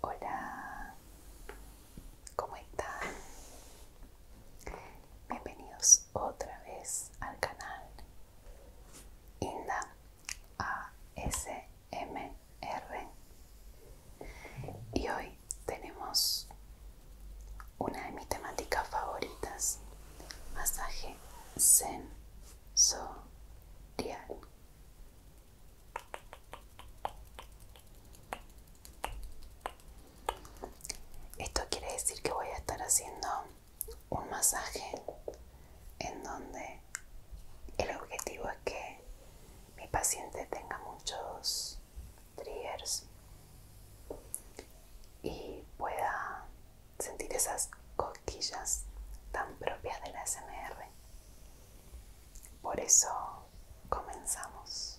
Hola, ¿cómo están? Bienvenidos otra vez al canal Inda ASMR. Y hoy tenemos una de mis temáticas favoritas, masaje zen Sorial. Esto quiere decir que voy a estar haciendo un masaje en donde el objetivo es que mi paciente tenga muchos triggers y pueda sentir esas tan propias de la SMR. Por eso comenzamos.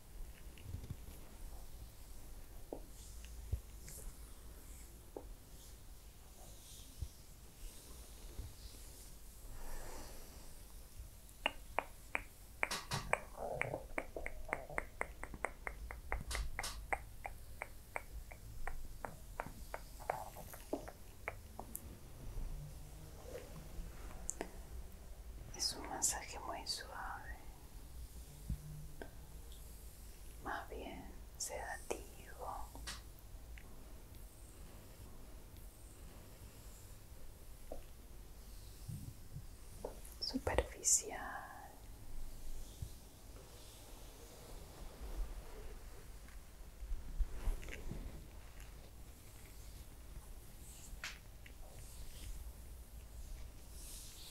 Es un masaje muy suave más bien sedativo. Superficial.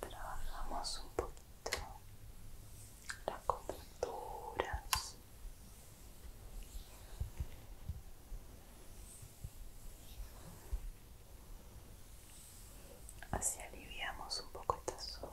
Trabajamos un poquito las contracturas así aliviamos un poco esta zona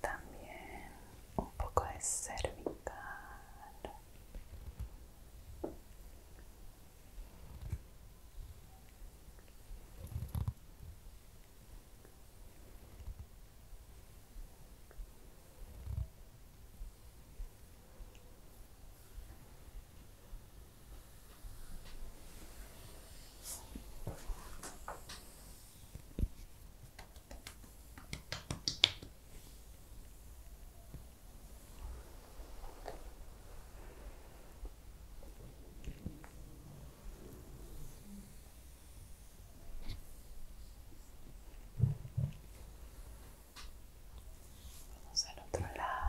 también un poco de cervical Vamos al otro lado.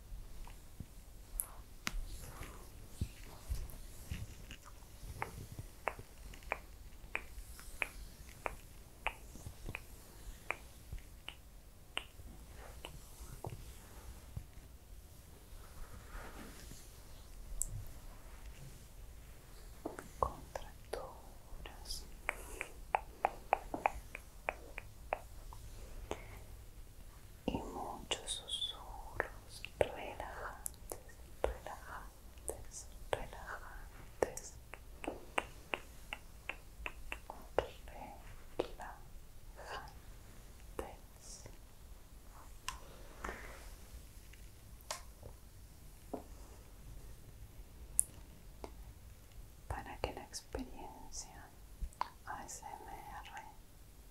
contracturas y muchos susurros relajantes, relajantes, relajantes. Relajantes. Para que la experiencia ASMR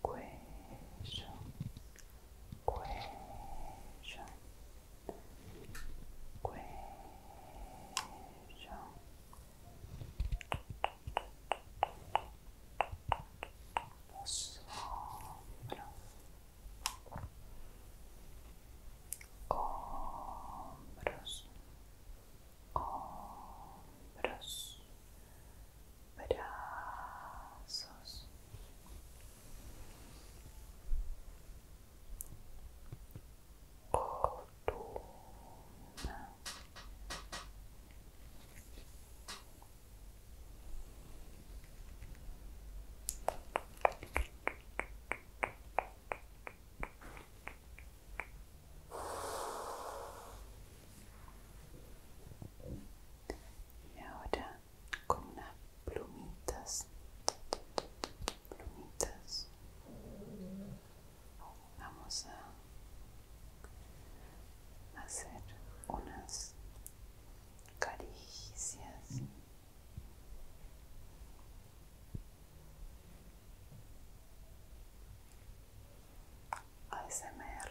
cuello, cuello, Los hombros, brazos columna y ahora con unas plumitas plumitas vamos a hacer unas caricias ASMR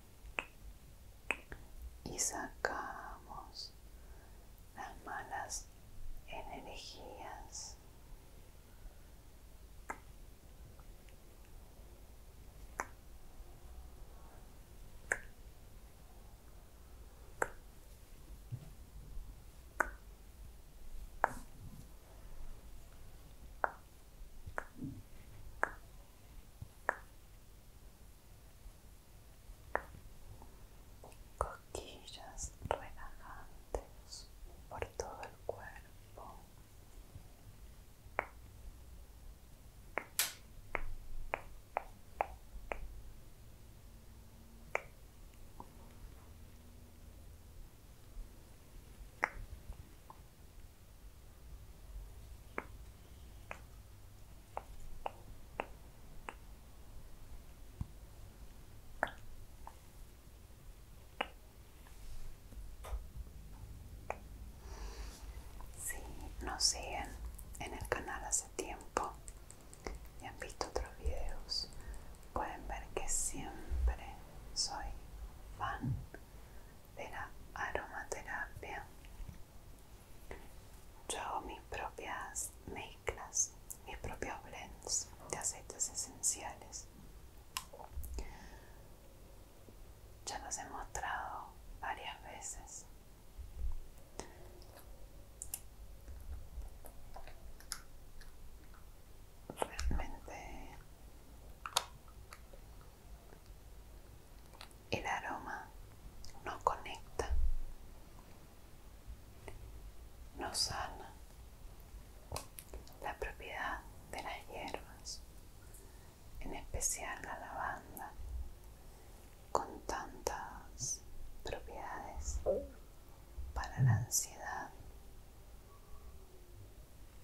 y sacamos las malas energías coquillas relajantes por todo el cuerpo si nos siguen en el canal hace tiempo y han visto otros videos, pueden ver que siempre soy fan de la aromaterapia yo hago mis propias mezclas, mis propios blends de aceites esenciales. Ya los he mostrado varias veces. Realmente el aroma no conecta, no sana. La propiedad de las hierbas, en especial la lavanda, con tantas propiedades para la ansiedad,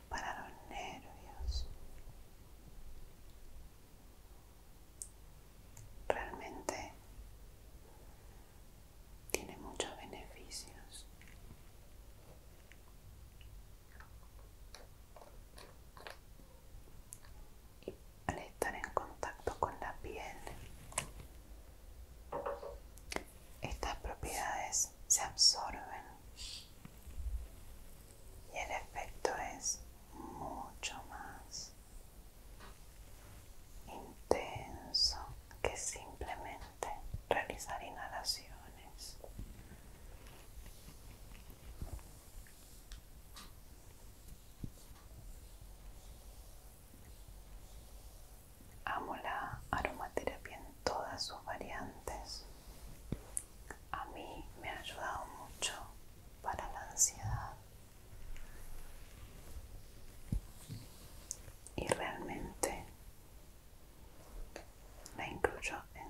para los nervios, Realmente tiene muchos beneficios. Y al estar en contacto con la piel, estas propiedades se absorben y el efecto es mucho más intenso que simplemente realizar inhalaciones. Amo la aromaterapia en todas sus variantes a mí me ha ayudado mucho para la ansiedad y realmente la incluyo en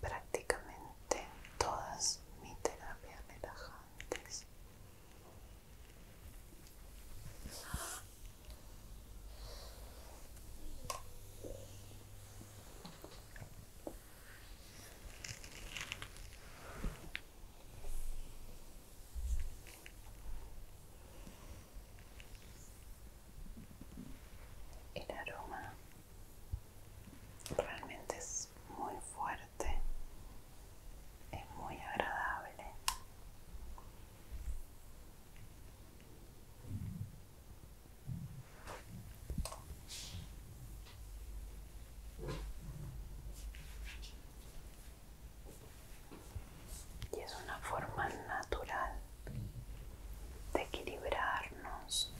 prácticamente todas mis terapias relajantes. El aroma realmente es muy fuerte, es muy agradable. Y es una forma natural de equilibrarnos,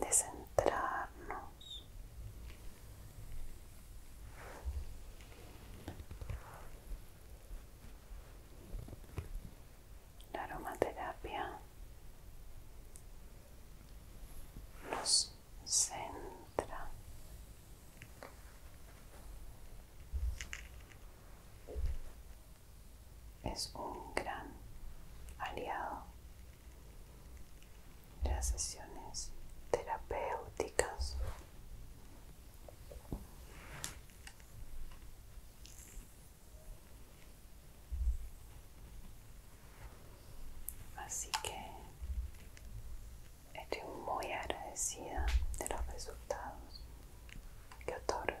de centrarnos. La aromaterapia nos centra es un gran aliado de las sesiones terapéuticas Así que estoy muy agradecida de los resultados que otorgan.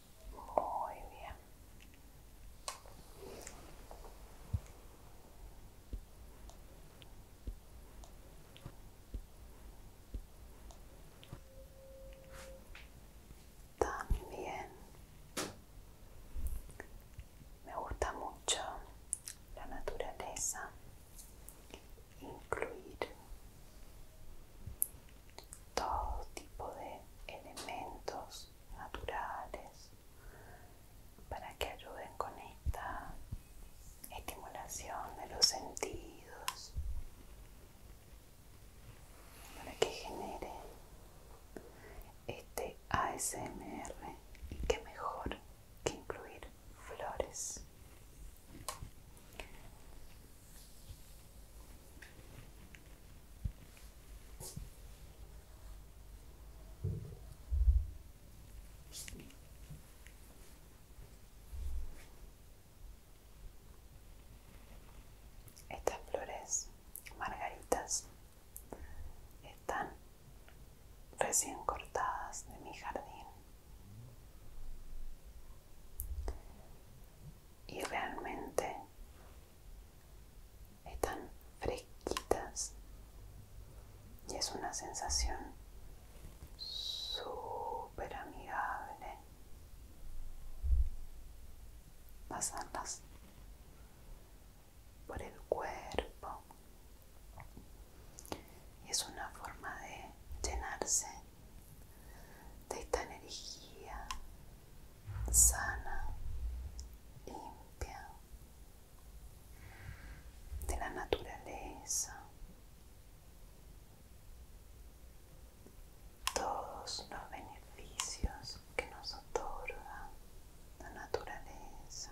Muy bien. También me gusta mucho la naturaleza, incluir todo tipo de elementos naturales para que ayuden con esta estimulación de los sentidos para que genere este ASMR y que mejor que incluir flores estas flores margaritas están recién cortadas de mi jardín y realmente están fresquitas y es una sensación súper amigable pasarlas por el cuerpo y es una forma de llenarse de esta energía sana, limpia, de la naturaleza. Todos los beneficios que nos otorga la naturaleza.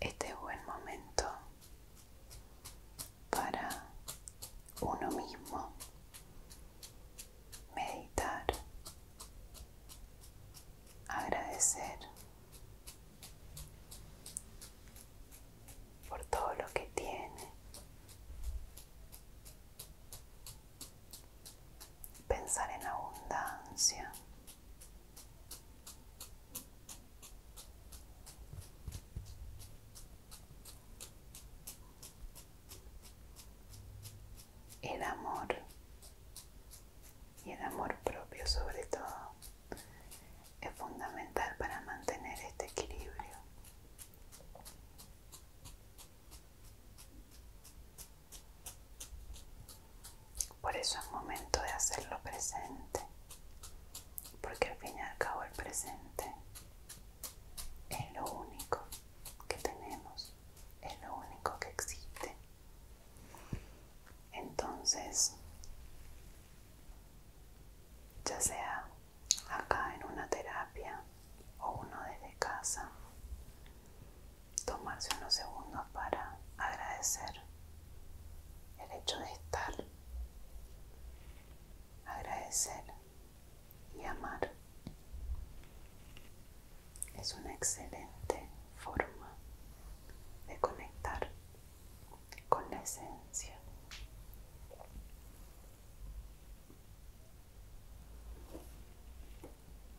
Este es buen momento para uno mismo meditar, agradecer por todo lo que tiene, pensar en abundancia el amor y el amor propio sobre todo es fundamental para mantener este equilibrio por eso es momento de hacerlo presente, porque al fin y al cabo el presente es lo único que tenemos, es lo único que existe. Entonces, ya sea acá en una terapia o uno desde casa, tomarse unos segundos para agradecer el hecho de estar, agradecer y amar. Es una excelente forma de conectar con la esencia.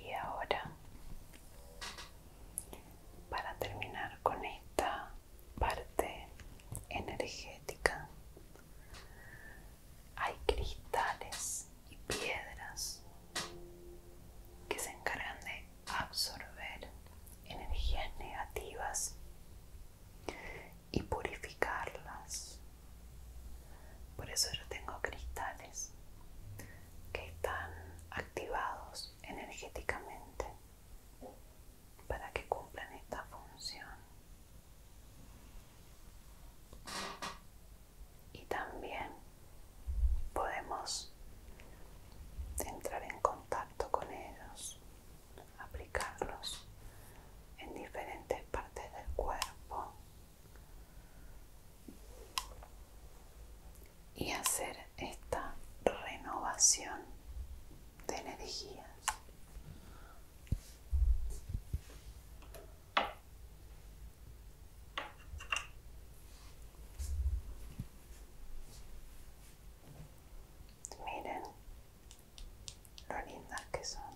Y ahora, para terminar con esta parte energética, hay cristales y piedras que se encargan de absorber energías negativas y purificarlas. Por eso yo tengo cristales que están activados energéticamente para que cumplan esta función y también podemos entrar en contacto con ellos, aplicarlos en diferentes partes del cuerpo y hacer esta renovación de energías. Miren lo lindas que son.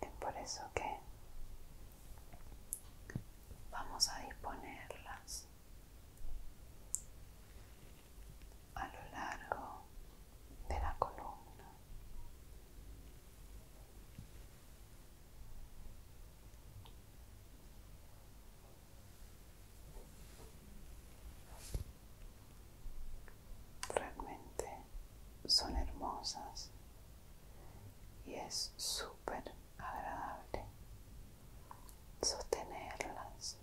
Es por eso que Vamos a disponerlas a lo largo de la columna. Realmente son hermosas y es súper agradable sostenerlas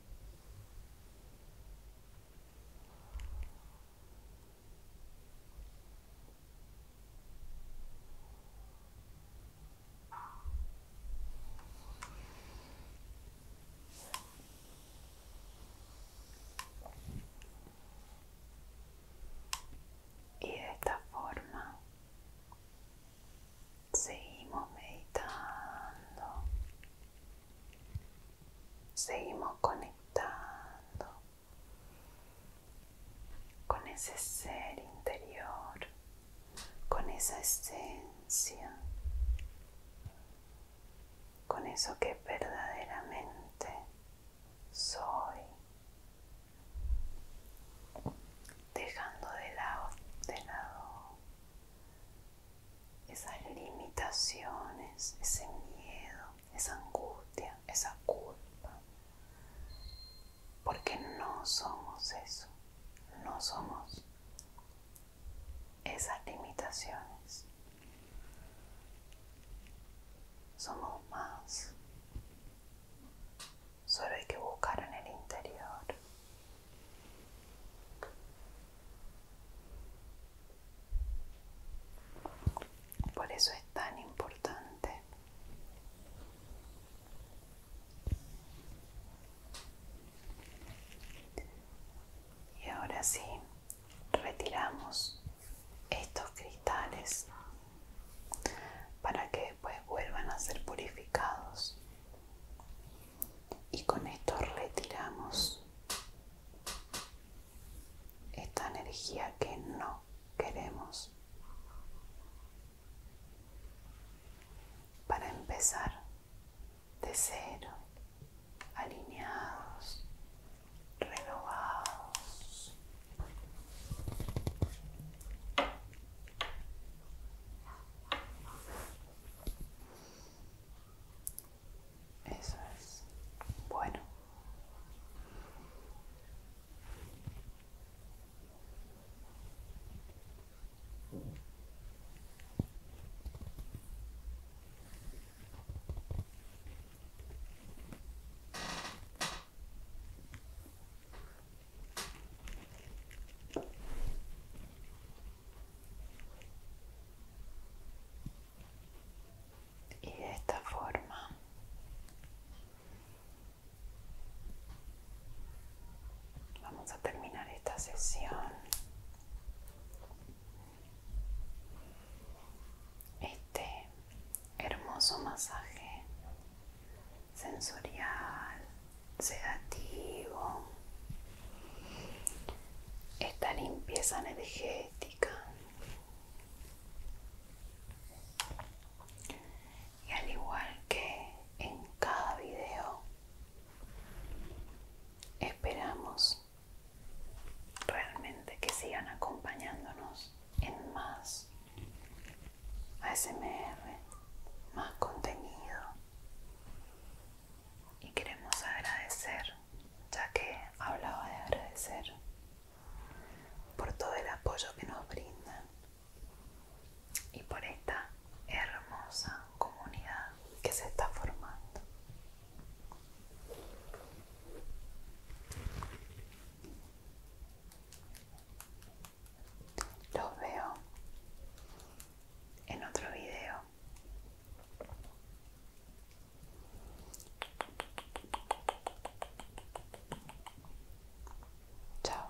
y de esta forma Seguimos meditando. Seguimos conectando con ese ser interior, con esa esencia, con eso que verdaderamente soy dejando de lado, de lado esas limitaciones, ese miedo, esa angustia, esa culpa, porque no somos eso, no somos esas limitaciones. Somos más. Solo hay que buscar en el interior. Por eso es tan importante y ahora sí retiramos estos cristales para que después vuelvan a ser purificados. Y con esto retiramos esta energía que no queremos para empezar de cero, alineados, renovados. Eso es bueno y de esta forma vamos a terminar esta sesión este hermoso masaje sensorial, sedativo, esta limpieza energética. Y al igual que en cada video, esperamos realmente que sigan acompañándonos en más ASMR, más contenido. Y queremos agradecer, ya que hablaba de agradecer, por todo el apoyo que nos brindan y por esta hermosa comunidad que se está formando. Los veo en otro video. Chao.